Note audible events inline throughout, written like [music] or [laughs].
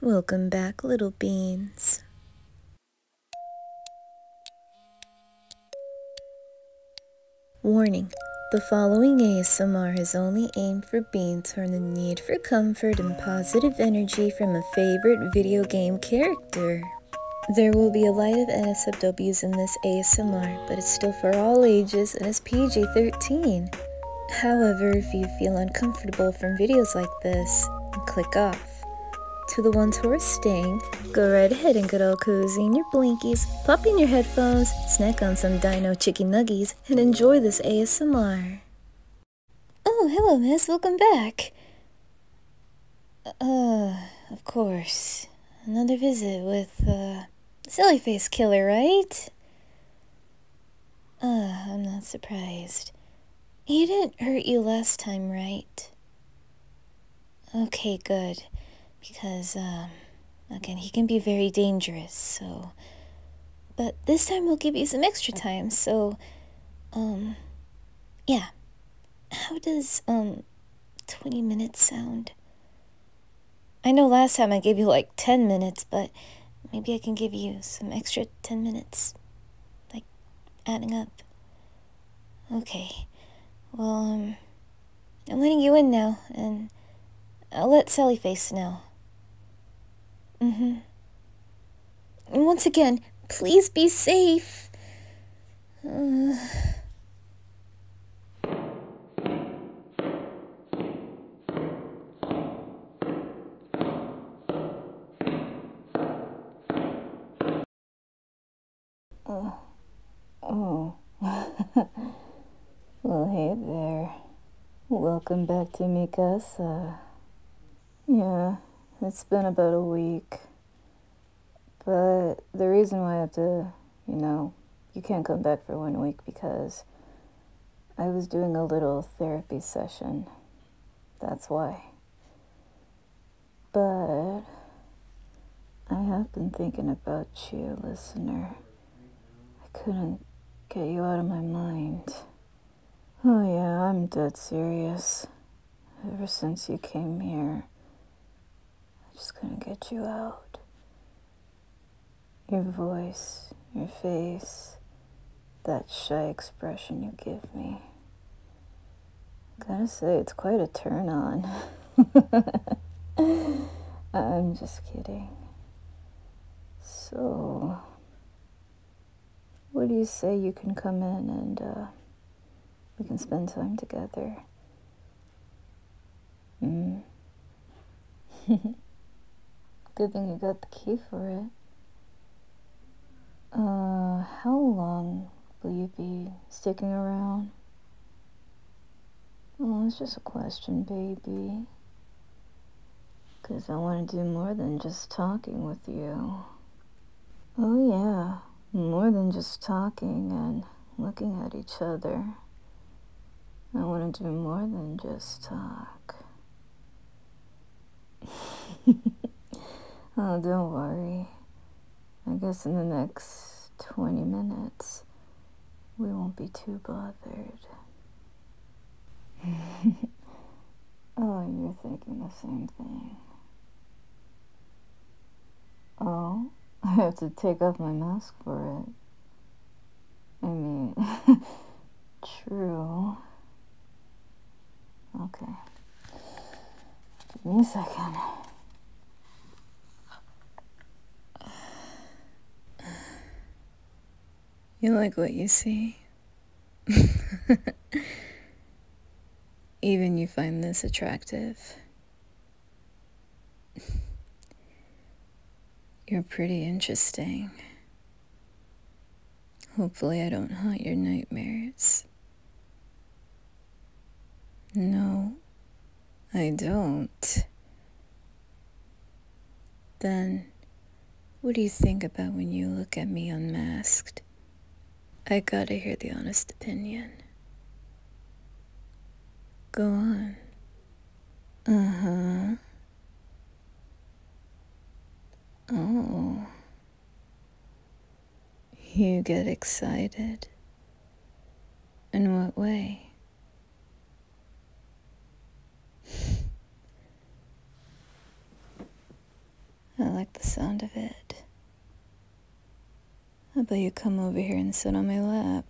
Welcome back, little beans. Warning The following ASMR is only aimed for beans who are in need for comfort and positive energy from a favorite video game character. There will be a light of NSFWs in this ASMR, but it's still for all ages and is. PG 13. However, if you feel uncomfortable from videos like this, click off. To the ones who are staying, go right ahead and get all cozy in your blinkies, pop in your headphones, snack on some dino chicken nuggies, and enjoy this ASMR. Oh, hello, miss. Welcome back. Uh, of course. Another visit with, uh, Silly Face Killer, right? Ugh, I'm not surprised. He didn't hurt you last time, right? Okay, good. Because, um, again, he can be very dangerous, so... But this time we'll give you some extra time, so, um, yeah. How does, um, 20 minutes sound? I know last time I gave you like 10 minutes, but maybe I can give you some extra 10 minutes. Like, adding up. Okay. Well, um, I'm letting you in now, and I'll let Sally Face know. Mm-hmm. And once again, please be safe. Uh. Oh, oh. [laughs] well, hey there. Welcome back to Mikasa. Yeah, it's been about a week. But the reason why I have to you know, you can't come back for one week because I was doing a little therapy session. That's why. But I have been thinking about you, listener. I couldn't get you out of my mind. Oh, yeah, I'm dead serious. Ever since you came here, i just gonna get you out. Your voice, your face, that shy expression you give me. Gotta say, it's quite a turn on. [laughs] I'm just kidding. So, what do you say you can come in and uh, we can spend time together? Mm. [laughs] Good thing you got the key for it. Uh, how long will you be sticking around? Oh, it's just a question, baby. Because I want to do more than just talking with you. Oh, yeah. More than just talking and looking at each other. I want to do more than just talk. [laughs] Oh, don't worry. I guess in the next 20 minutes, we won't be too bothered. [laughs] oh, you're thinking the same thing. Oh? I [laughs] have to take off my mask for it. I mean, [laughs] true. Okay. Give me a second. You like what you see? [laughs] Even you find this attractive. [laughs] You're pretty interesting. Hopefully, I don't haunt your nightmares. No, I don't. Then, what do you think about when you look at me unmasked? I gotta hear the honest opinion. Go on. Uh huh. Oh. You get excited. In what way? [laughs] I like the sound of it. How about you come over here and sit on my lap?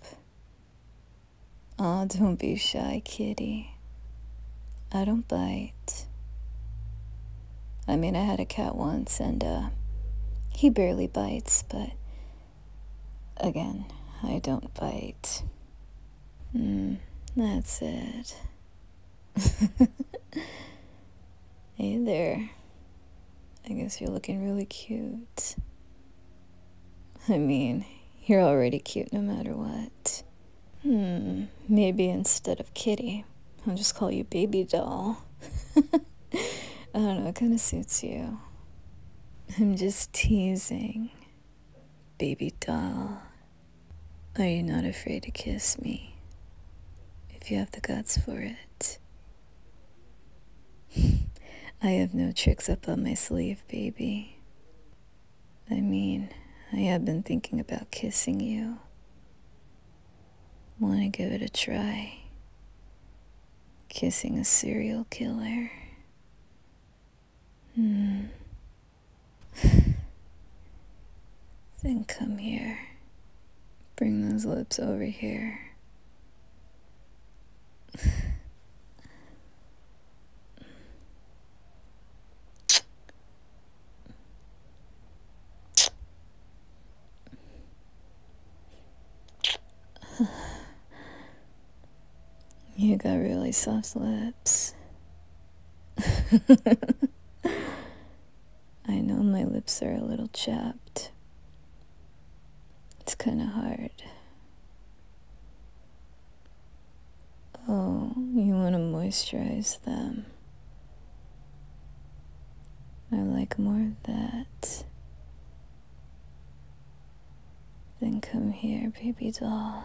Aw, don't be shy, kitty. I don't bite. I mean, I had a cat once, and, uh, he barely bites, but again, I don't bite. Mm, that's it. [laughs] hey there. I guess you're looking really cute. I mean, you're already cute no matter what. Hmm, maybe instead of kitty, I'll just call you baby doll. [laughs] I don't know, it kind of suits you. I'm just teasing. Baby doll, are you not afraid to kiss me? If you have the guts for it. [laughs] I have no tricks up on my sleeve, baby. I mean, I have been thinking about kissing you. Want to give it a try? Kissing a serial killer. Hmm. [laughs] then come here. Bring those lips over here. You got really soft lips. [laughs] I know my lips are a little chapped, it's kind of hard. Oh, you want to moisturize them. I like more of that. Then come here, baby doll.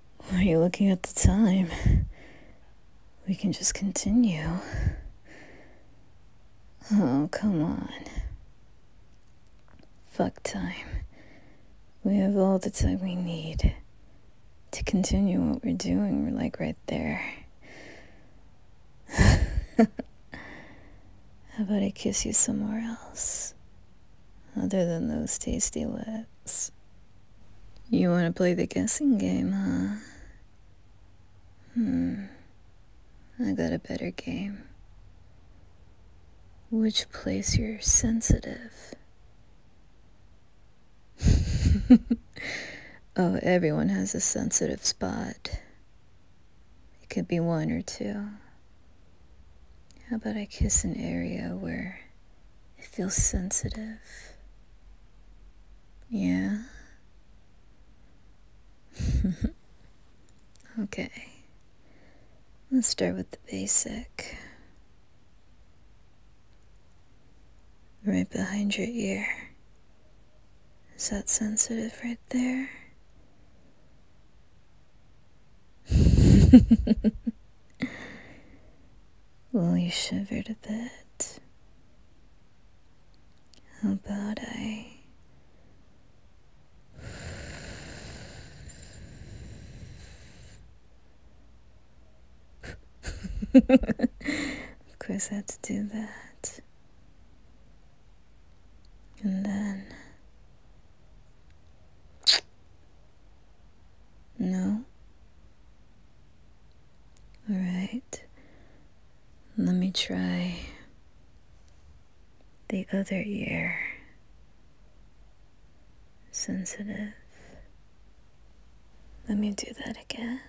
Are you looking at the time? We can just continue. Oh, come on. Fuck time. We have all the time we need to continue what we're doing. We're like right there. [laughs] How about I kiss you somewhere else? Other than those tasty lips. You want to play the guessing game, huh? Hmm. I got a better game. Which place you're sensitive? [laughs] oh, everyone has a sensitive spot. It could be one or two. How about I kiss an area where it feels sensitive. Yeah? [laughs] okay. Let's start with the basic. Right behind your ear. Is that sensitive right there? [laughs] well, you shivered a bit. How about I. [laughs] of course, I had to do that. And then. No? Alright. Let me try the other ear. Sensitive. Let me do that again.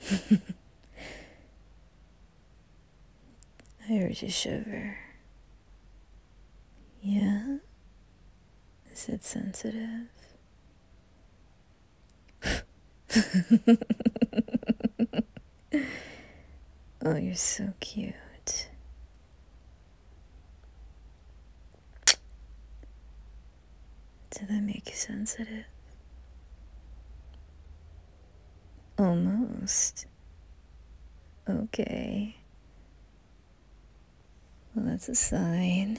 [laughs] I heard you shiver. Yeah? Is it sensitive? [laughs] oh, you're so cute. Did they make sense at sensitive? Almost. Okay. Well, that's a sign.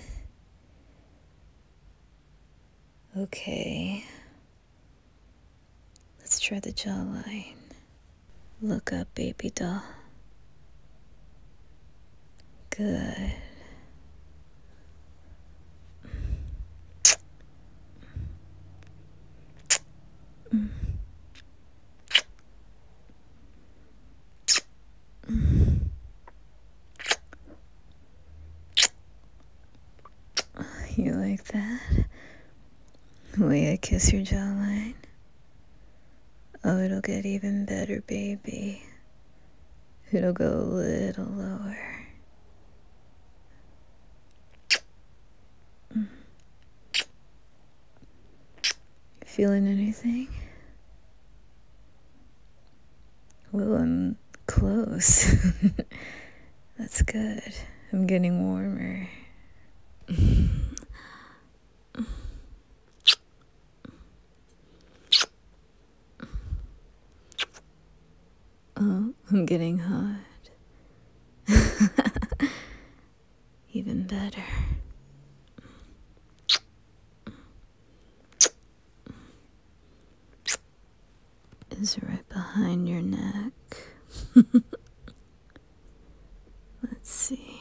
Okay. Let's try the jawline. Look up, baby doll. Good. You like that? The way I kiss your jawline? Oh, it'll get even better, baby. It'll go a little lower. Mm. Feeling anything? Well, I'm close. [laughs] That's good. I'm getting warmer. Oh, I'm getting hot. [laughs] Even better. Is right behind your neck. [laughs] Let's see.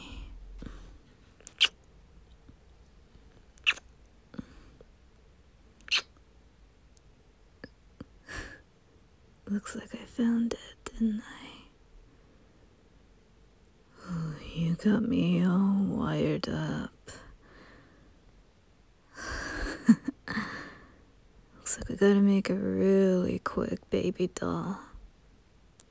[sighs] Looks like I found it, didn't I? you got me all wired up. [sighs] Looks like I gotta make a really quick baby doll.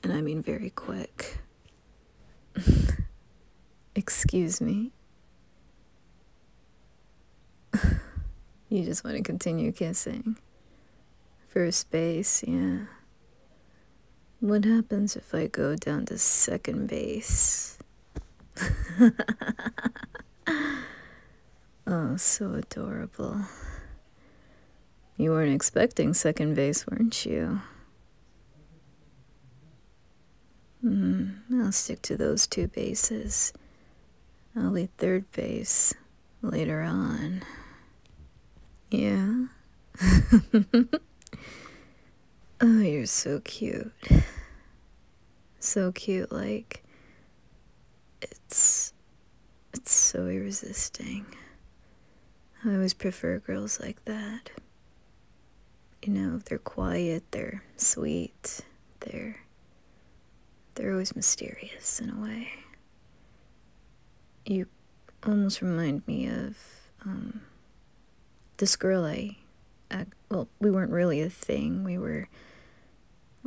And I mean very quick. [laughs] Excuse me. [laughs] you just want to continue kissing. First base, yeah. What happens if I go down to second base? [laughs] oh, so adorable. You weren't expecting second base, weren't you? Hmm, I'll stick to those two bases. I'll lead third base later on. Yeah? [laughs] oh, you're so cute. So cute, like... It's... It's so irresistible. I always prefer girls like that you know, they're quiet, they're sweet, they're they're always mysterious in a way. You almost remind me of um, this girl I, I, well, we weren't really a thing. We were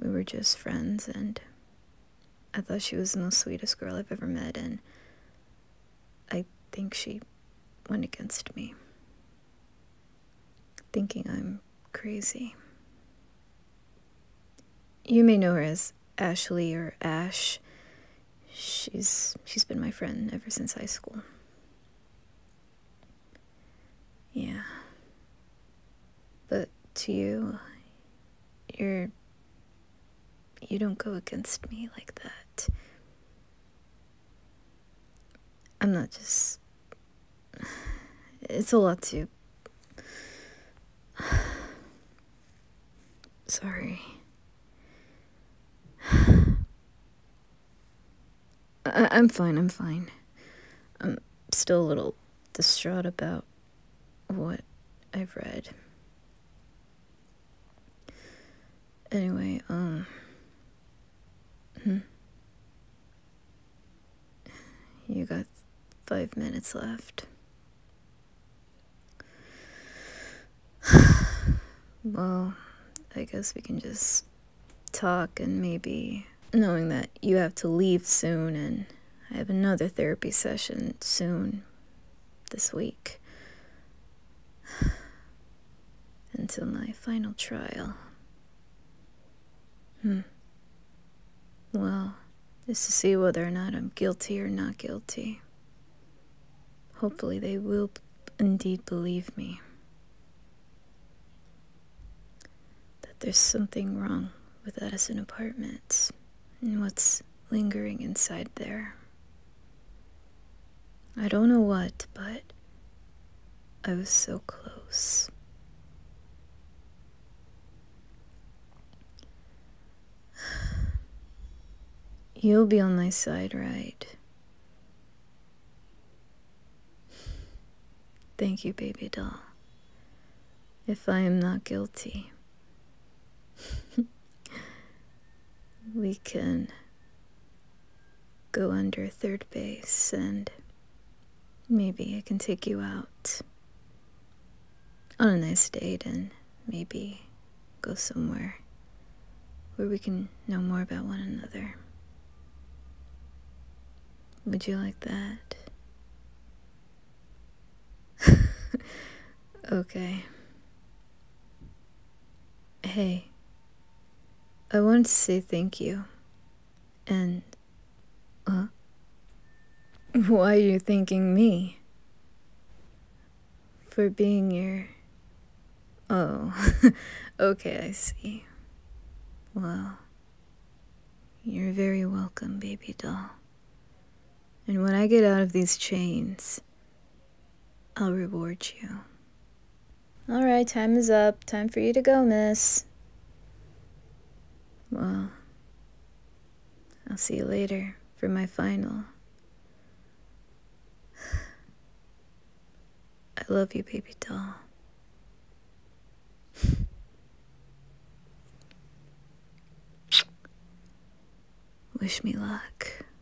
we were just friends, and I thought she was the most sweetest girl I've ever met, and I think she went against me, thinking I'm crazy. You may know her as Ashley or Ash. She's she's been my friend ever since high school. Yeah. But to you, you're you don't go against me like that. I'm not just. It's a lot to. [sighs] Sorry. [sighs] I- I'm fine, I'm fine. I'm still a little distraught about what I've read. Anyway, um. Hmm? You got five minutes left. [sighs] well, I guess we can just talk and maybe. Knowing that you have to leave soon and I have another therapy session soon this week. Until my final trial. Hmm. Well, is to see whether or not I'm guilty or not guilty. Hopefully, they will indeed believe me. That there's something wrong with Edison Apartments and what's lingering inside there. I don't know what, but I was so close. [sighs] You'll be on my side, right? Thank you, baby doll. If I am not guilty. [laughs] we can go under third base and maybe I can take you out on a nice date and maybe go somewhere where we can know more about one another. Would you like that? [laughs] okay. Hey, I wanted to say thank you. And. uh, Why are you thanking me? For being your. Oh, [laughs] okay, I see. Well, you're very welcome, baby doll. And when I get out of these chains, I'll reward you. All right, time is up. Time for you to go, miss. Well, I'll see you later for my final. [sighs] I love you, baby doll. [laughs] Wish me luck.